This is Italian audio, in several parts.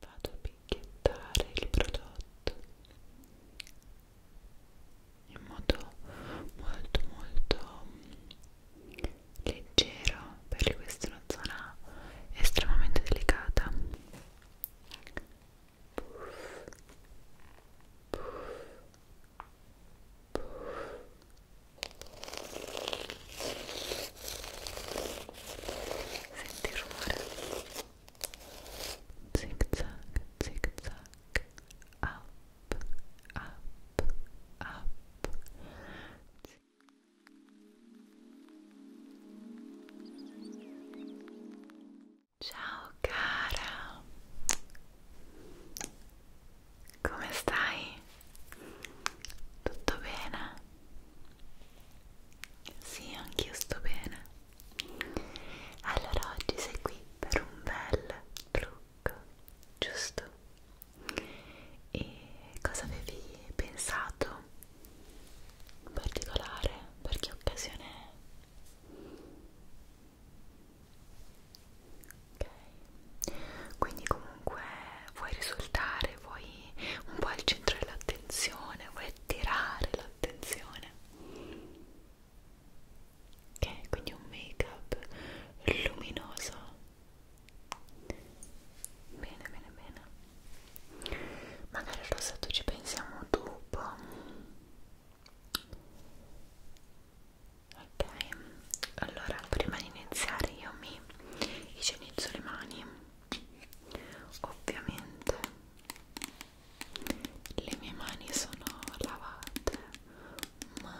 vado a picchiettare il prodotto in modo molto molto mm, leggero perché questa è una zona estremamente delicata puff, puff, puff senti il rumore zig zag zig zag up up up ciao cara come stai? Tutto bene? Sì, anch'io sto bene. Allora oggi sei qui per un bel trucco, giusto? E cosa avevi pensato in particolare? Per che occasione è? Ok. Quindi comunque vuoi risultare, vuoi un po' al centro dell'attenzione, vuoi attirare l'attenzione ok quindi un make up luminoso bene bene bene magari al rossetto ci pensiamo dopo ok allora prima di iniziare io mi igienizzo le mani ovviamente le mie mani sono lavate ma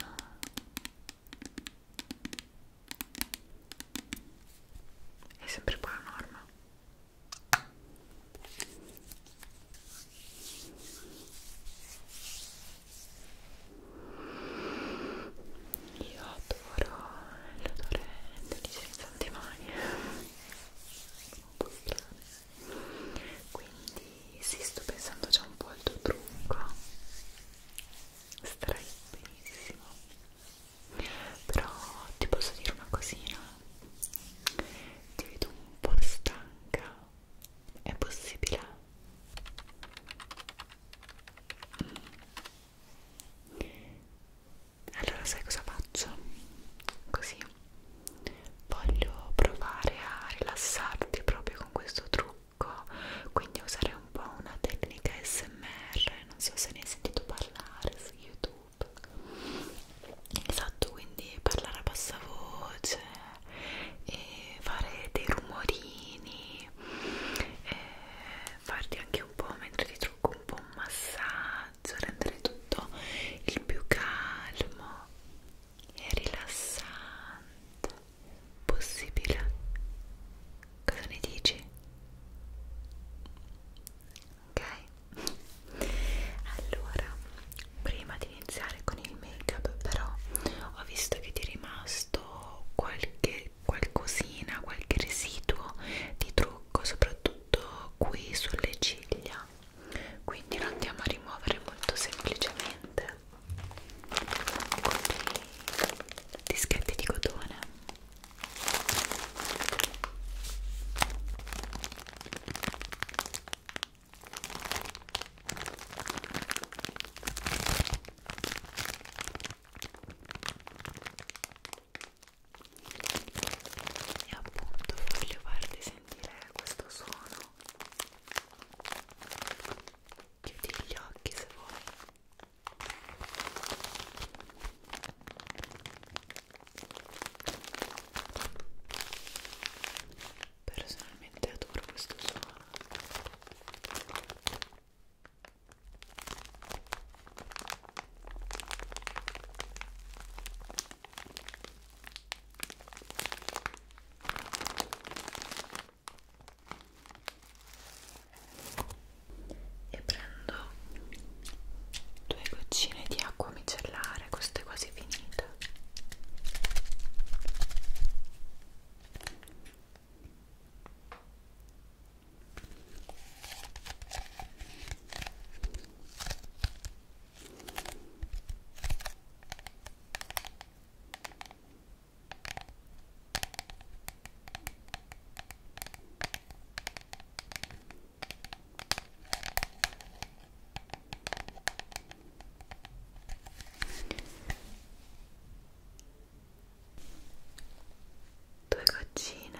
è sempre qua la norma io adoro l'odore degli scienziati mani un po' strane quindi sì sto pensando già un po' al tuo trucco starai benissimo però ti posso dire una cosina ti vedo un po' stanca è possibile? Mm allora sai cosa faccio? così voglio provare a rilassarti proprio con questo trucco quindi usare un po' una tecnica smr non so se ne hai sentito parlare su youtube esatto quindi parlare a bassa voce e fare dei rumorini e farti anche un po' mentre ti trucco un po' un massaggio massaggio, rendere tutto il più calmo e rilassante possibile. Cosa ne dici? Ok? Allora, prima di iniziare con il make up però ho visto che ti è rimasto qualche qualcosina, qualche residuo di trucco soprattutto soprattutto qui sulle ciglia quindi lo andiamo a rimuovere molto semplicemente con dei dischetti di cotone e appunto voglio farvi sentire questo suono chiudi gli occhi se vuoi personalmente adoro questo suono e prendo due goccine di acqua micellare questa è quasi finita Due goccine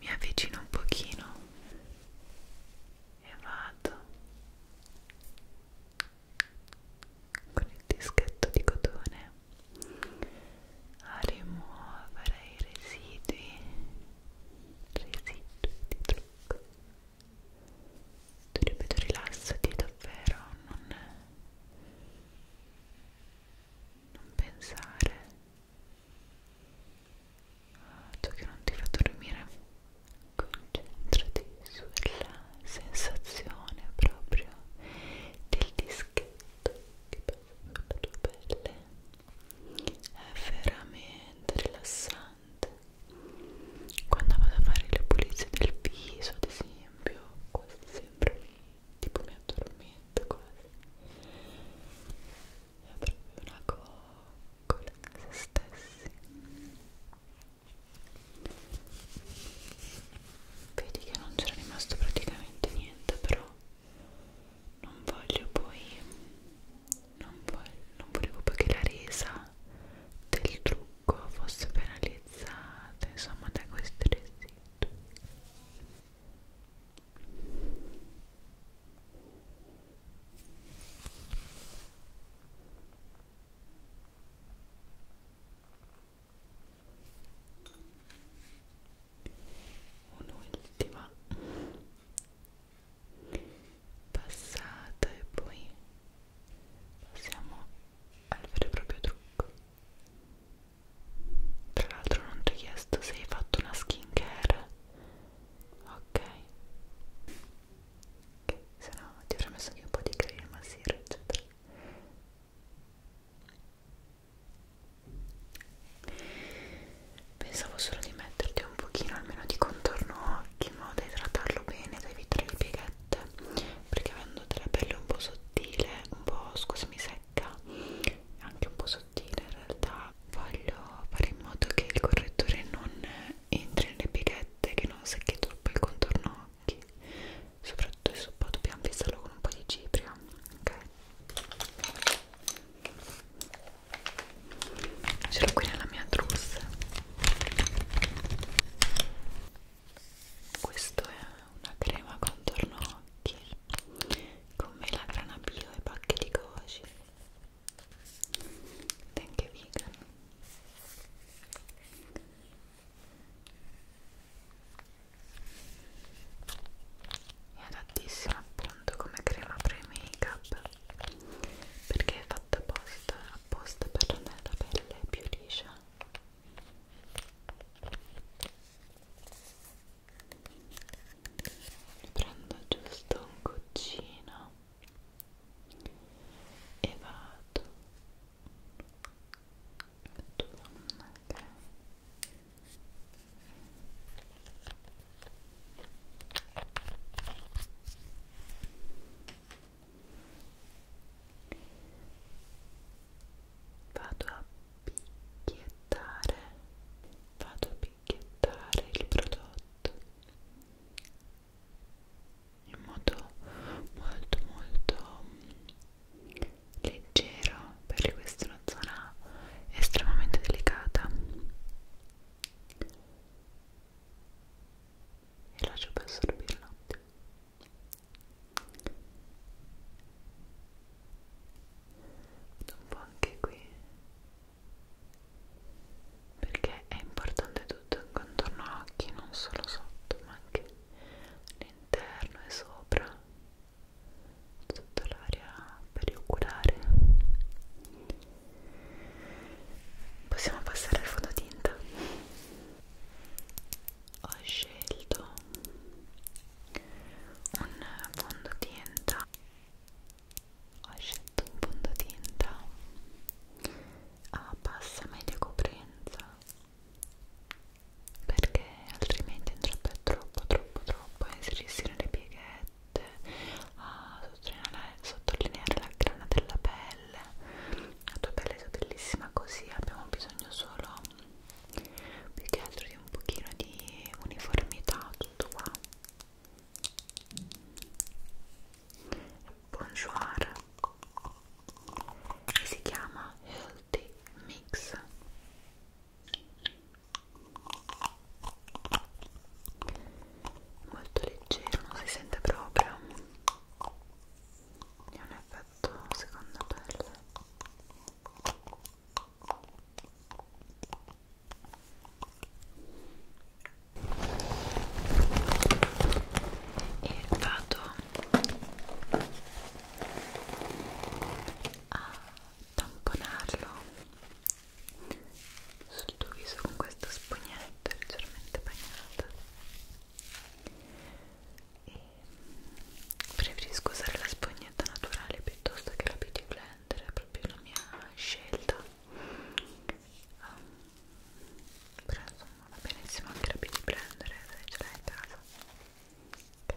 mi avvicino un pochino e vado con il dischetto di cotone a rimuovere i residui residui di trucco tu ripeto rilassati davvero non, non pensare a ciò che non ti fa dormire concentrati sulla sensazione proprio del dischetto che passa sulla tua pelle è veramente rilassante quando vado a fare le pulizie del viso ad esempio quasi sempre tipo mi addormento quasi è proprio una coccola se stessi vedi che non c'era rimasto praticamente niente però non voglio poi non, vo non volevo poi che la resa del trucco fosse penalizzata insomma da questi residui un'ultima passata e poi passiamo al vero e proprio trucco tra l'altro non ti ho chiesto se hai fatto una skincare ok ok se no ti avrei messo anche un po' di crema sera eccetera pensavo solo di metterti un pochino almeno di contorno occhi in modo da idratarlo bene da evitare le pieghe rosette perché avendo della pelle un po' sottile un po' scusami secca anche un po' sottile in realtà voglio fare in modo che il correttore non entri nelle pighette che non secchi troppo il contorno occhi soprattutto se poi dobbiamo fissarlo con un po' di cipria ok ce l'ho qui nella mia trousse questo è una crema contorno occhi con melagrana bio e pacche di goji ed anche vegan è adattissima appunto come crema pre-make up perché è fatta apposta, apposta per rendere la pelle più liscia prendo giusto un goccino e vado okay vado a picchiettare vado a picchiettare il prodotto in modo molto molto leggero perché questa è una zona estremamente delicata e lascio per assorbirlo Vado un po' anche qui perché è importante tutto intorno all'occhio, non solo sotto, ma anche all'interno e sopra, tutta l'area perioculare. Possiamo passare al fototinta ho scelto un fondotinta ho scelto un fondotinta a bassa media coprenza perché altrimenti andrebbe troppo troppo troppo a inserirsi nelle pieghette a sottolineare, sottolineare la grana della pelle pelle la tua pelle è bellissima così abbiamo bisogno solo più che altro di un pochino di uniformità tutto qua bonjour e si chiama Healthy Mix molto leggero, non si sente proprio e non è effetto seconda pelle e vado a tamponarlo sul tuo viso con questa spugnetta leggermente bagnata e preferisco usare la spugnetta naturale piuttosto che la beauty blender è proprio la mia scelta um, però insomma va benissimo anche la beauty blender eh, se ce l'hai in casa okay.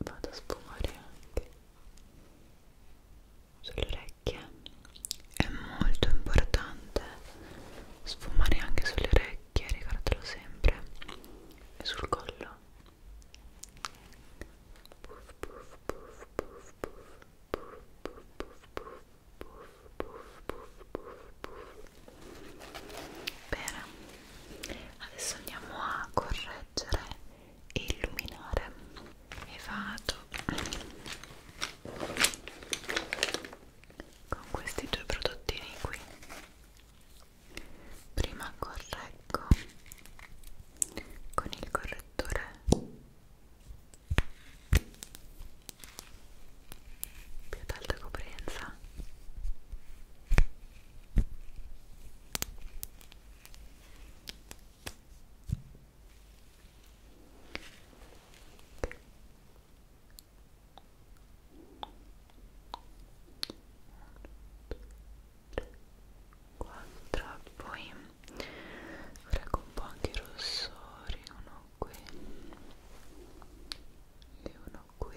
vado a sfumare anche sulle orecchie è molto importante sfumare anche sulle orecchie ricordatelo sempre e sul collo puff puff puff puff puff puff puff puff puff puff puff puff puff bene adesso andiamo a correggere proteggere e illuminare e vado con questi due prodottini qui prima correggo con il correttore più ad alta coprenza 4 poi frego un po' anche i rossori uno qui e uno qui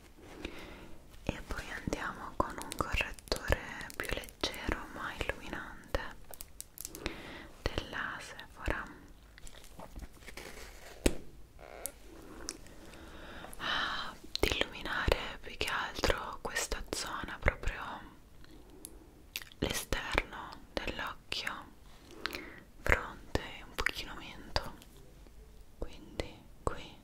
e poi andiamo con un correttore più leggero ma illuminante della Sephora ah, di illuminare più che altro questa zona proprio l'esterno dell'occhio fronte un pochino mento quindi qui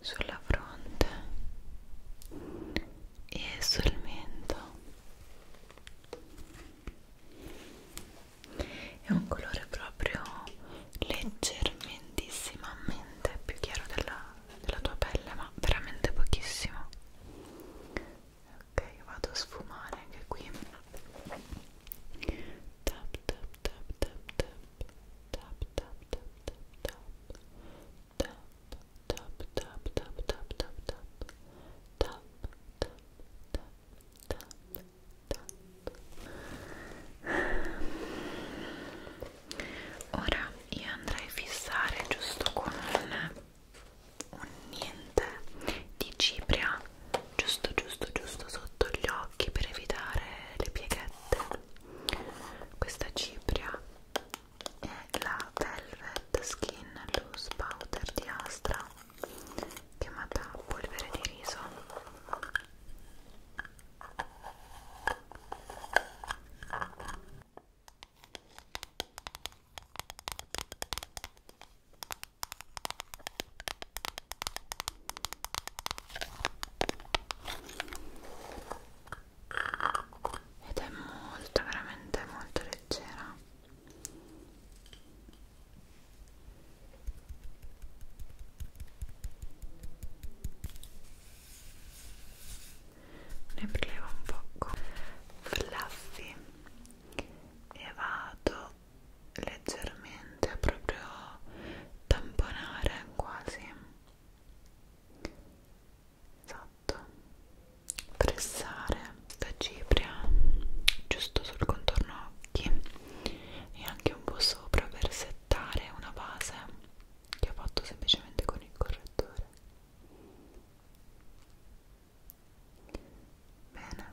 sulla fronte e sul mento è un colore proprio leggermentissimamente più chiaro della, della tua pelle ma veramente pochissimo ok vado a sfumare anche qui tap tap tap tap tap tap tap tap tap tap tap tap tap tap tap tap tap tap tap tap tap tap ora io andrei a fissare giusto con un, un niente di cipria giusto giusto giusto sotto gli occhi per evitare le pieghette questa cipria è la Velvet Skin Loose Powder di Astra chiamata polvere di riso ed è molto veramente molto leggera ne prelevo un poco fluffy e vado leggermente veramente proprio tamponare quasi esatto pressare la cipria giusto sul contorno occhi e anche un po' sopra per settare una base che ho fatto semplicemente con il correttore bene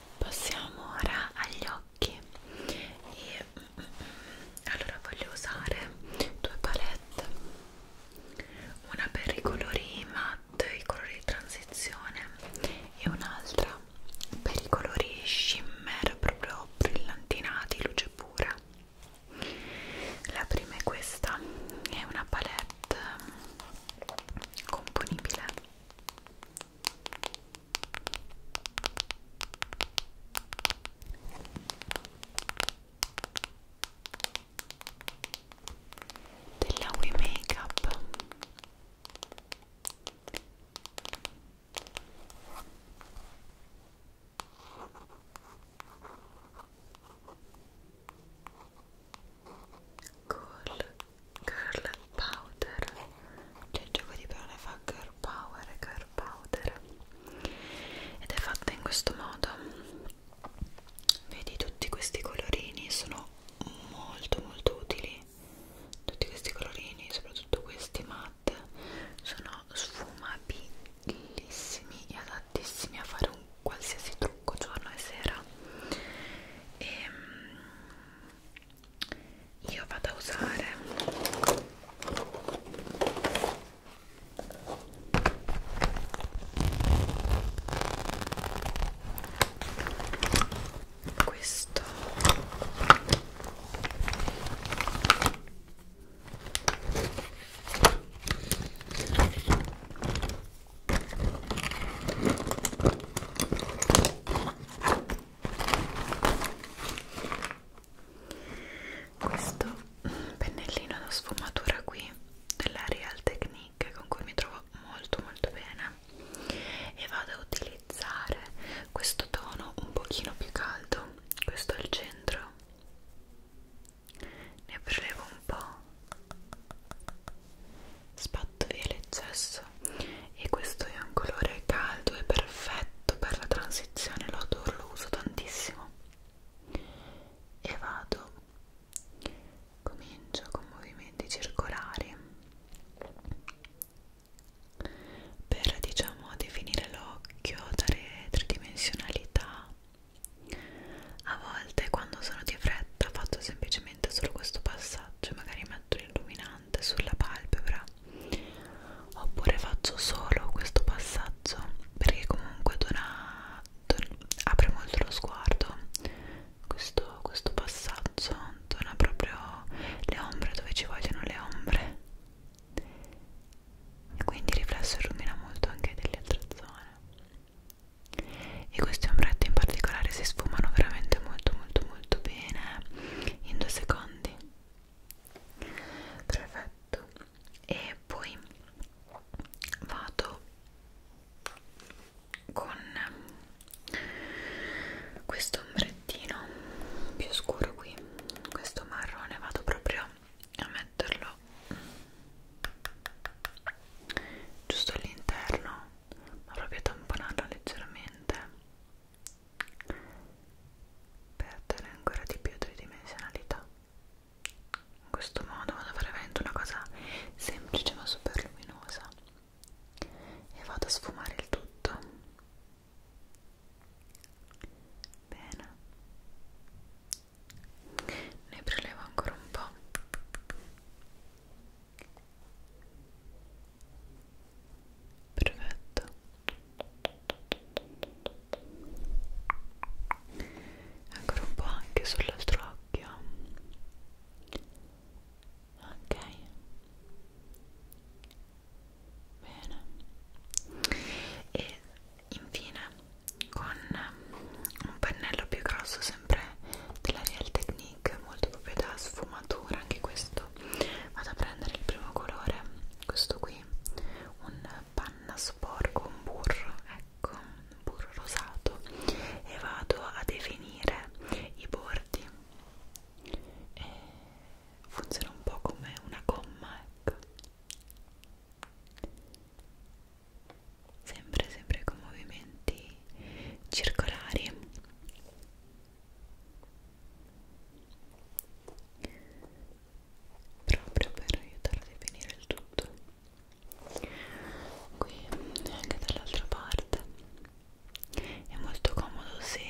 passiamo ora agli occhi e mm, mm, mm. allora voglio usare due palette una per i colori matte i colori di transizione e un'altra per i colori shimmer proprio brillantinati luce pura la prima è questa è una palette componibile della We Makeup Cool Girl powder cioè il gioco di parole fa girl power e girl powder ed è fatta in questo modo vedi tutti questi colorini sono molto molto utili tutti questi colorini soprattutto questi matte sono sfumabilissimi e adattissimi a fare un qualsiasi trucco giorno e sera e ehm, io vado a usare questo questo pennellino da sfumatura qui della Real Technique con cui mi trovo molto molto bene e vado a utilizzare questo tono un pochino più caldo questo al centro ne prelevo un po' spatto via l'eccesso rosa e questo è un colore caldo e perfetto per la transizione, lo adoro, lo uso tantissimo e vado comincio con movimenti circolari per diciamo definire l'occhio, dare tridimensionalità a volte quando sono di fretta faccio semplicemente solo questo passaggio magari metto l'illuminante sulla palpebra oppure faccio solo questo passaggio perché comunque dona, don, apre molto lo sguardo questo, questo passaggio dona proprio le ombre dove ci vogliono le ombre e quindi riflesso illumina molto anche delle altre zone e questi ombretti in particolare si sfumano veramente molto molto molto bene in due secondi perfetto e poi vado con questo ombrettino più scuro qui questo marrone vado proprio a metterlo giusto all'interno ma proprio a tamponarlo leggermente per dare ancora di più tridimensionalità in questo modo vado a fare veramente una cosa semplice ma super luminosa e vado a sfumare il tutto bene ne prelevo ancora un po' perfetto ancora un po' anche sull'altro occhio ok bene e infine con un pennello più grosso sempre della Real Technique molto proprio da sfumatura anche questo punto vado a prendere il primo colore questo qui un panna sporco un burro ecco un burro rosato e vado a definire i bordi e funziona un po' come una gomma ecco sempre sempre con movimenti circolari proprio per aiutare a definire il tutto qui e anche dall'altra parte è molto comodo se,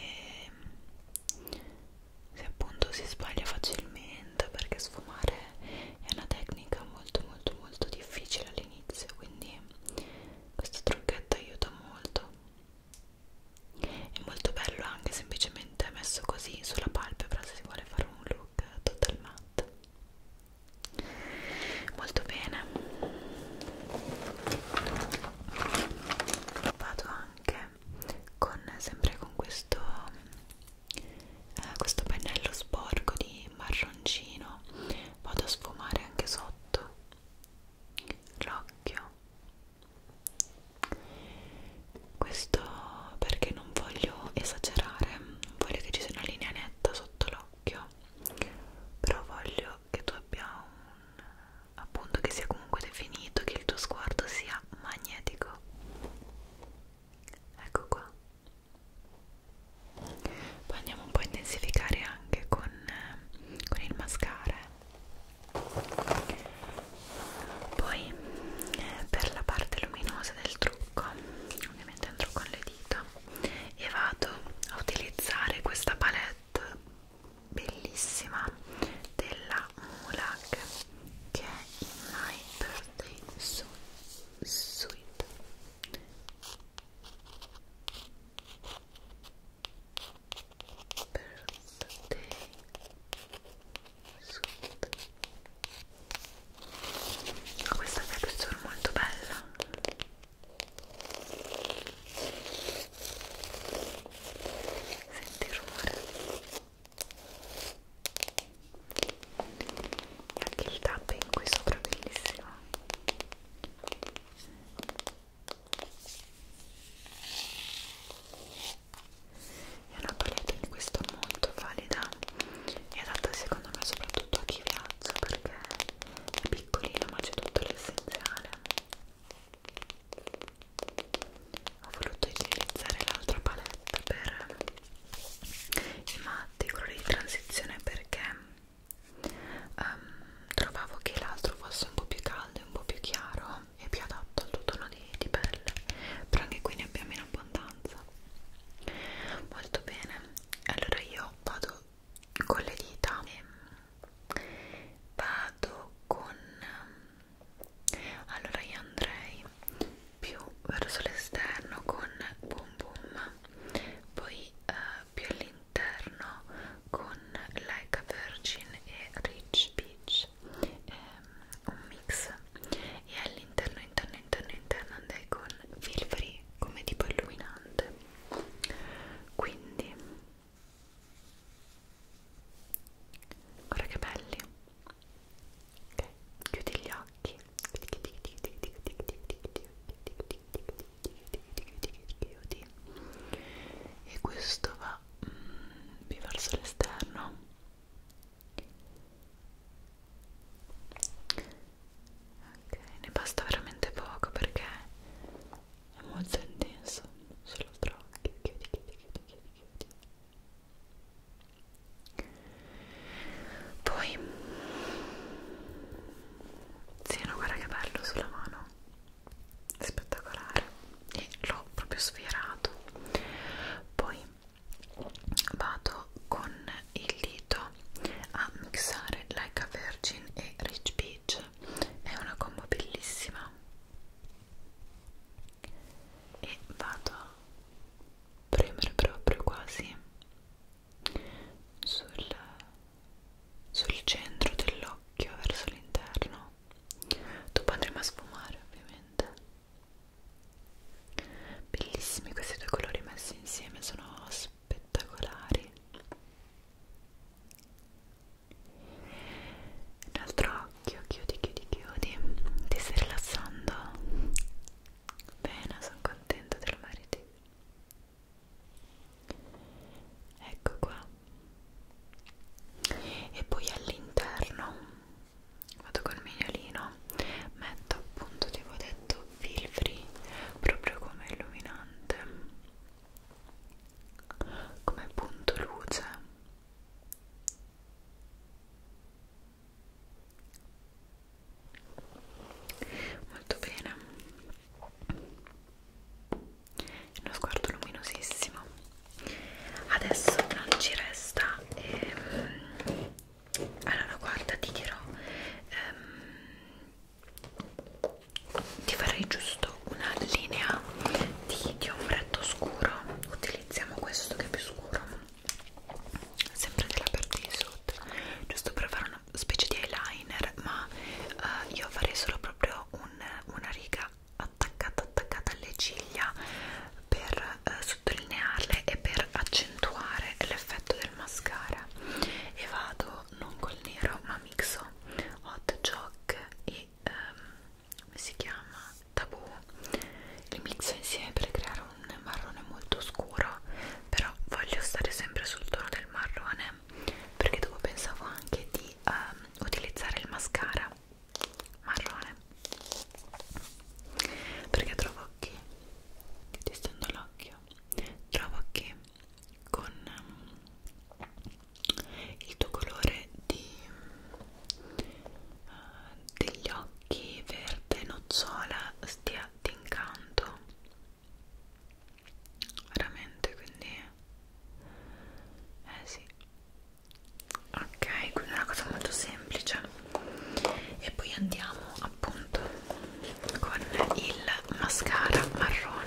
se appunto si sbaglia facilmente perché sfumare è una tecnica molto molto molto difficile all'inizio quindi questo trucchetto aiuta molto è molto bello anche semplicemente messo così sulla palpebra se si vuole fare un look total matte molto bene vado anche con sempre con questo eh, questo pennello sporco di marroncino vado a sfumare anche sotto l'occhio questo perché non voglio esagerare non voglio che ci sia una linea netta sotto l'occhio però voglio che tu abbia un appunto che sia comunque definito che il tuo sguardo sia magnetico ecco qua poi andiamo un po' a intensificare anche con, con il mascara poi eh, per la parte luminosa del trucco ovviamente andrò con le dita e vado a utilizzare questa palette bellissima della Mulak che è in My Birthday Su Sweet birthday suit questa texture molto bella senti il rumore anche il tapping qui sopra bellissimo è una palette di questo molto valida e adatta secondo me soprattutto a chi viaggia perché è piccolina ma c'è tutto l'essenziale ho voluto utilizzare l'altra palette per i matti, colori di transizione perché um, trovavo che l'altro fosse un po' più caldo e un po' più chiaro e più adatto al tuo tono di, di pelle però anche qui ne abbiamo in abbondanza molto bene allora io vado con le dita e vado con allora io andrei più verso l'esterno con boom boom poi eh, più all'interno con Leica Virgin e Rich Peach e ehm, un mix e all'interno, interno, interno, interno andai con Filfree come tipo illuminante quindi guarda che belli ok, chiudi gli occhi chiudi e questo va mm, più verso l'esterno ok ne basta veramente poco perché è molto intenso solo tra occhi chiudi chiudi chiudi chiudi chiudi poi sì no guarda che bello sulla mano spettacolare e l'ho proprio sfiorato poi vado con il dito a mixare Like a Virgin e Rich Peach è una combo bellissima e vado a premere proprio quasi sul, sul centro dell'occhio verso l'interno dopo andremo a sfumare ovviamente bellissimi questi due colori messi insieme sono spettacolari un altro occhio chiudi chiudi chiudi ti stai rilassando bene sono contenta te lo meriti ecco qua e poi all'interno vado col mignolino metto appunto ti avevo detto filtri proprio come illuminante come punto luce molto bene uno sguardo luminosissimo adesso non ci resta ehm, allora guarda ti dirò ehm, ti farei giusto una linea di, di ombretto scuro utilizziamo questo che è più scuro sempre della parte di sotto giusto per fare una specie di eyeliner ma eh, io farei solo proprio un, una riga attaccata attaccata alle ciglia per eh, sottolinearle e per accentuare l'effetto del mascara e vado non col nero ma mixo hot jock e ehm, come si chiama tabù li mixo insieme per creare un marrone molto scuro però voglio stare sempre sul tono del marrone perché dopo pensavo anche di ehm, utilizzare il mascara marrone perché trovo che testando l'occhio trovo che con um, il tuo colore di, uh, degli occhi verde nocciola stia d'incanto veramente quindi eh sì ok quindi è una cosa molto semplice e poi andiamo appunto con il mascara marrone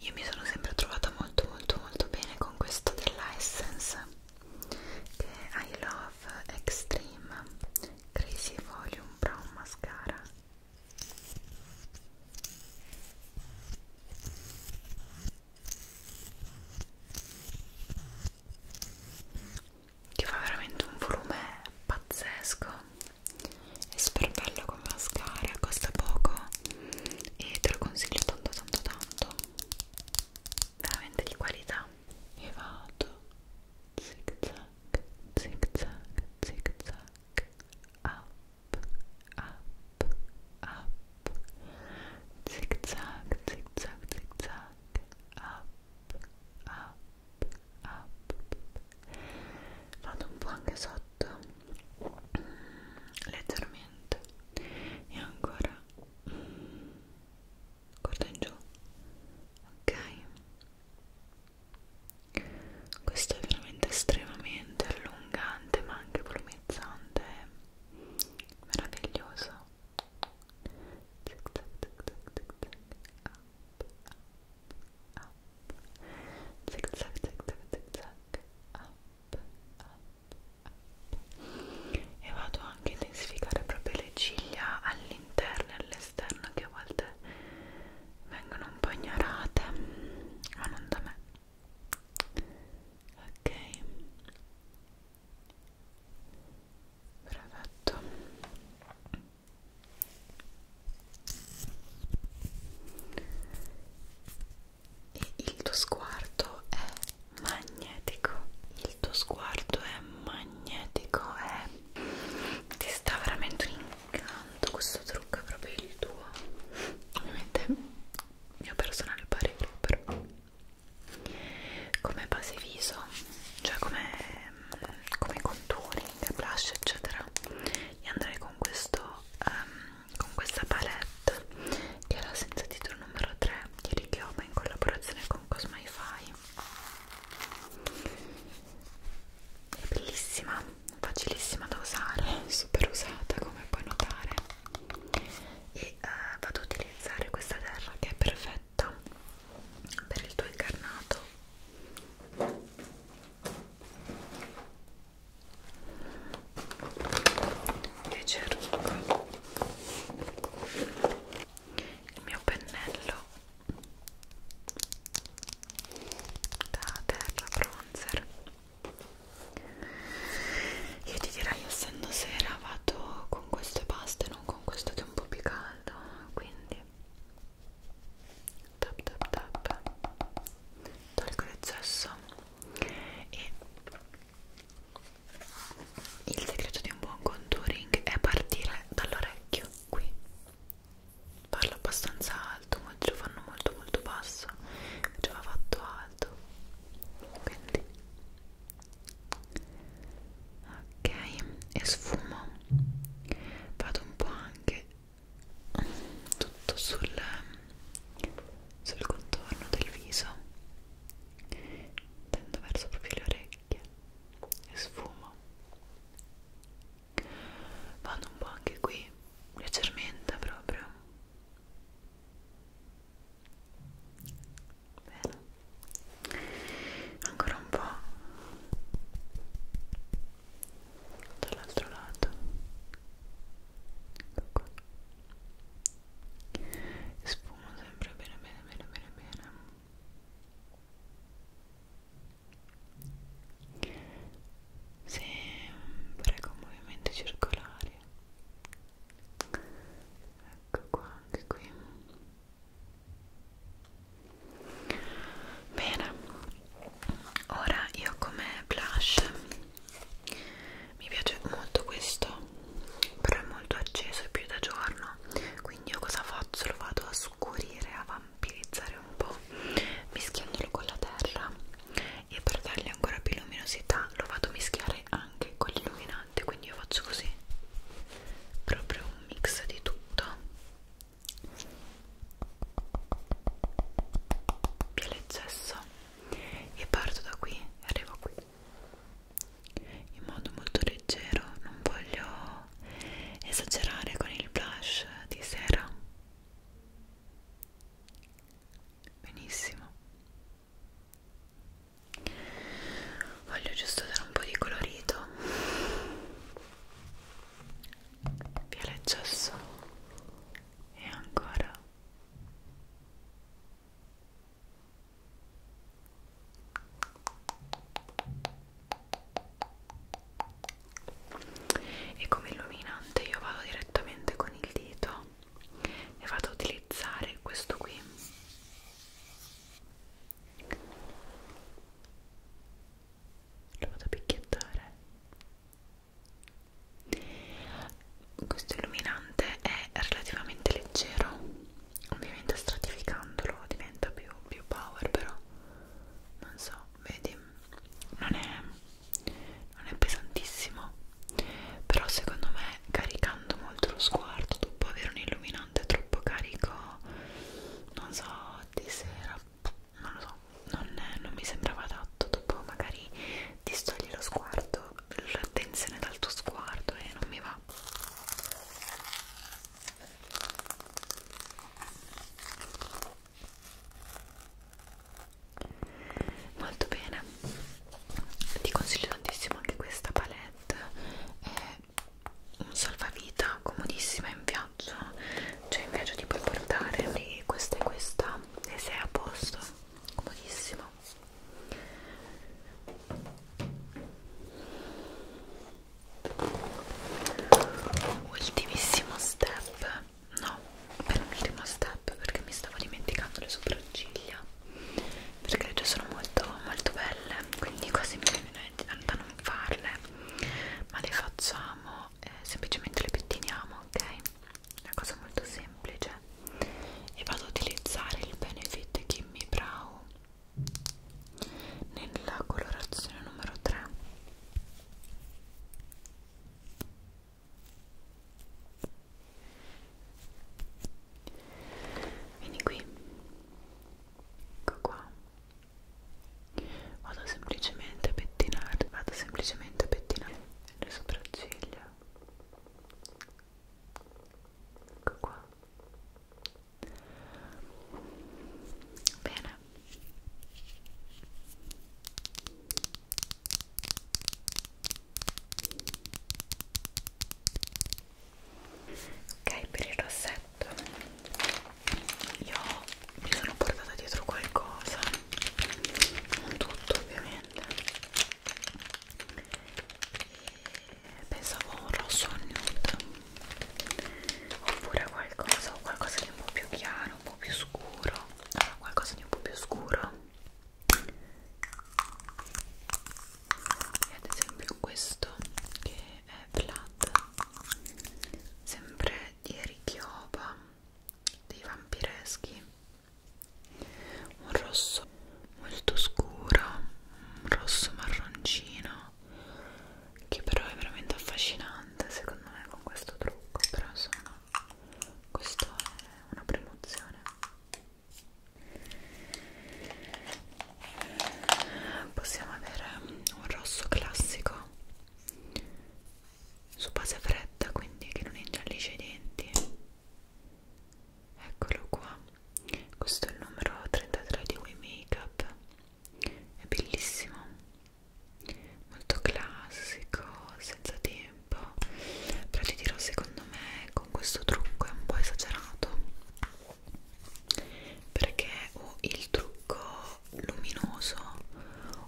io mi sono sempre trovata molto molto molto bene con questo della Essence che è I Love Extreme Crazy Volume Brown Mascara che fa veramente un volume pazzesco è super bello come mascara costa poco e te lo consiglio tanto tanto tanto veramente di qualità e vado zig zag zig zag zig zag up up up zig zag zig zag zig zag up up up vado un po' anche sotto mm, leggermente e ancora guarda mm, in giù ok questo è veramente estremamente allungante ma anche volumizzante meraviglioso Tic, tic, tic, tic, tic, tic. Up, up, up, zig zag, zig zag, zig zag, up, up, up. E vado anche a intensificare proprio le ciglia all'interno e all'esterno che a volte vengono un po' ignorate, ma non da me. Ok. Perfetto e il tuo sguardo è magnetico il tuo sguardo è magnetico è ti sta veramente un incanto questo trucco è proprio il tuo ovviamente mio personale parere però come base viso cioè come come contouring, blush eccetera e andrei con questo um, con questa palette che è la senza titolo numero 3 di Rikyoba in collaborazione con Cosmify è bellissima, facilissima da usare, super usata come puoi notare e uh, vado ad utilizzare questa terra che è perfetta per il tuo incarnato invece rucco il mio pennello da terra bronzer io ti direi essendo sera vado con questo e basta e non con questo che è un po' più caldo quindi tap tap tap tolgo l'eccesso e il segreto di un buon contouring è partire dall'orecchio qui parlo abbastanza alto molti lo fanno molto molto basso invece va fatto alto quindi ok e sfumo vado un po' anche tutto sul, sul contorno del viso tendo verso proprio le orecchie e sfumo vado un po' anche qui leggermente proprio bene ancora un po' dall'altro lato ecco qua sfumo sempre bene bene bene bene bene sempre con movimenti circolari ecco qua anche qui bene ora io come blush mi piace molto questo però è molto acceso e più da giorno quindi io cosa faccio? lo vado a scurire a vampirizzare un po' mischiandolo con la terra e per dargli ancora più luminosità lo vado a mischiare anche con l'illuminante quindi io faccio così proprio un mix di tutto piele e cesso e parto da qui e arrivo qui in modo molto leggero non voglio esagerare con il blush di sera benissimo voglio giusto dare un po' di colorito via il gesso e ancora e come illuminante io vado direttamente con il dito e vado a utilizzare questo qui lo vado a picchiettare questo illuminante è relativamente leggero ovviamente stratificandolo diventa più, più power però non so vedi non è, non è pesantissimo però secondo me caricando molto lo sguardo dopo avere un illuminante troppo carico non so di sera non lo so, non, non mi sembrava adatto. Dopo magari distogli lo sguardo, l'attenzione dal tuo sguardo e non mi va. Molto bene, ti consiglio tantissimo anche questa palette, è un salvavita comodissima in fiamme viaggio cioè invece ti puoi portare lì questa e questa e sei a posto comodissimo ultimissimo step no penultimo step perché mi stavo dimenticando le sopracciglia perché le sono molto molto belle quindi quasi mi viene da non farle ma le facciamo eh, semplicemente le pettiniamo, ok? Una cosa molto semplice. E vado ad utilizzare il Benefit Gimme Brow nella colorazione numero 3. Vieni qui. Ecco qua vado semplicemente a pettinare vado semplicemente a pettinare le sopracciglia ecco qua bene ok per il rossetto io mi sono portata dietro qualcosa non tutto ovviamente e pensavo a un rosso o un nude oppure qualcosa qualcosa di un po' più chiaro un po' più scuro allora, qualcosa di un po' più scuro e ad esempio questo che è flat sempre di Erichioba dei vampireschi un rosso molto scuro un rosso marroncino che però è veramente affascinante secondo me con questo trucco però insomma questa è una promozione possiamo avere un rosso classico su base fredda quindi che non ingiallisce i denti eccolo qua questo è il numero 33 di We Makeup è bellissimo molto classico senza tempo però ti dirò secondo me con questo trucco è un po' esagerato perché o il trucco luminoso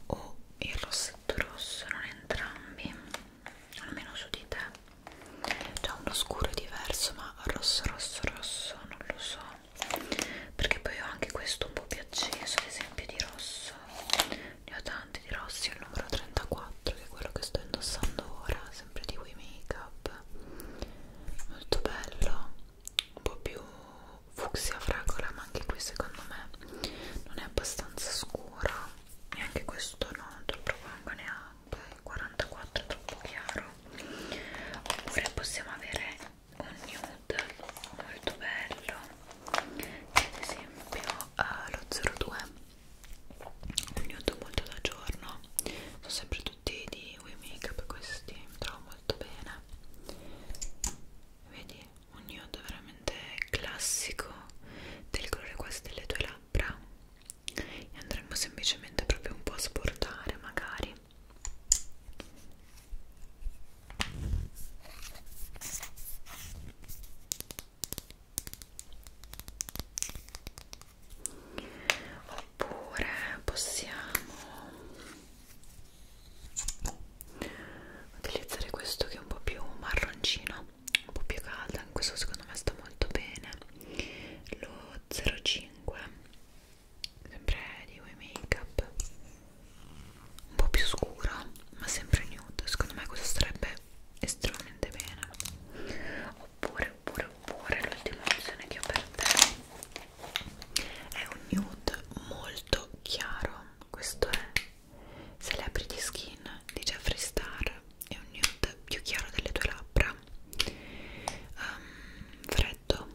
o il rossetto rosso non entrambi almeno su di te c'è uno scuro diverso ma rosso rosso rosso non lo so perché poi ho anche questo un po' più acceso ad esempio di rosso ne ho tanti di rossi il numero 34 che è quello che sto indossando ora sempre di We Makeup molto bello un po' più fucsia fragola ma anche qui secondo me non è abbastanza scuro e anche questo no, non te lo propongo neanche il 44 è troppo chiaro oppure possiamo avere un nude molto bello ad esempio uh, lo 02 un nude molto da giorno sono sempre tutti di We Makeup questi mi trovo molto bene vedi un nude veramente classico del colore quasi delle tue labbra e andremo semplicemente proprio un po' a sportare magari oppure possiamo utilizzare questo che è un po' più marroncino un po' più caldo anche questo secondo me sta molto bene lo 05 sempre di Way Makeup un po' più scuro ma sempre nude secondo me questo sarebbe estremamente bene oppure oppure oppure l'ultima opzione che ho per te è un nude molto chiaro questo è Celebrity Skin di Jeffree Star è un nude più chiaro delle tue labbra um, freddo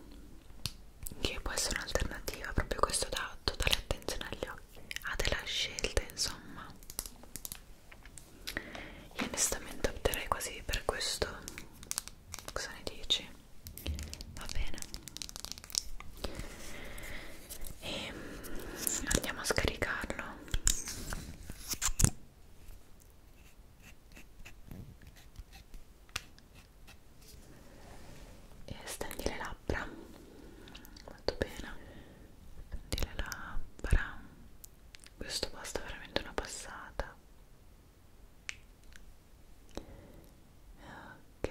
che può essere un'alternativa proprio questo dà totale attenzione agli occhi ha della scelta insomma io onestamente opterei quasi per questo cosa ne dici? va bene e ehm, andiamo a scaricarlo e stendi le labbra molto bene stendi le labbra questo basta veramente una passata ok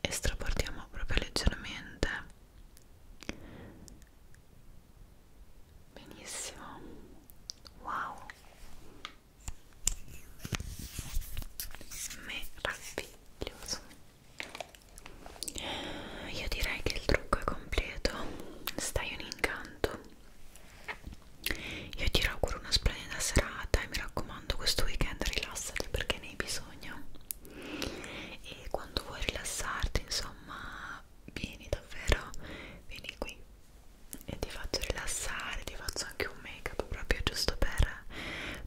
e straportiamo proprio leggermente benissimo wow meraviglioso io direi che il trucco è completo stai un incanto io ti auguro una splendida serata e mi raccomando raccomando questo weekend rilassati perché ne hai bisogno e quando vuoi rilassarti insomma vieni davvero vieni qui e ti faccio rilassare ti faccio anche un make up proprio giusto per,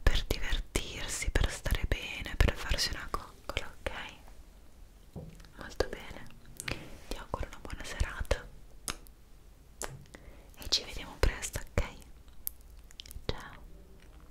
per divertirsi per stare bene per farsi una coccola ok molto bene ti auguro una buona serata e ci vediamo presto ok ciao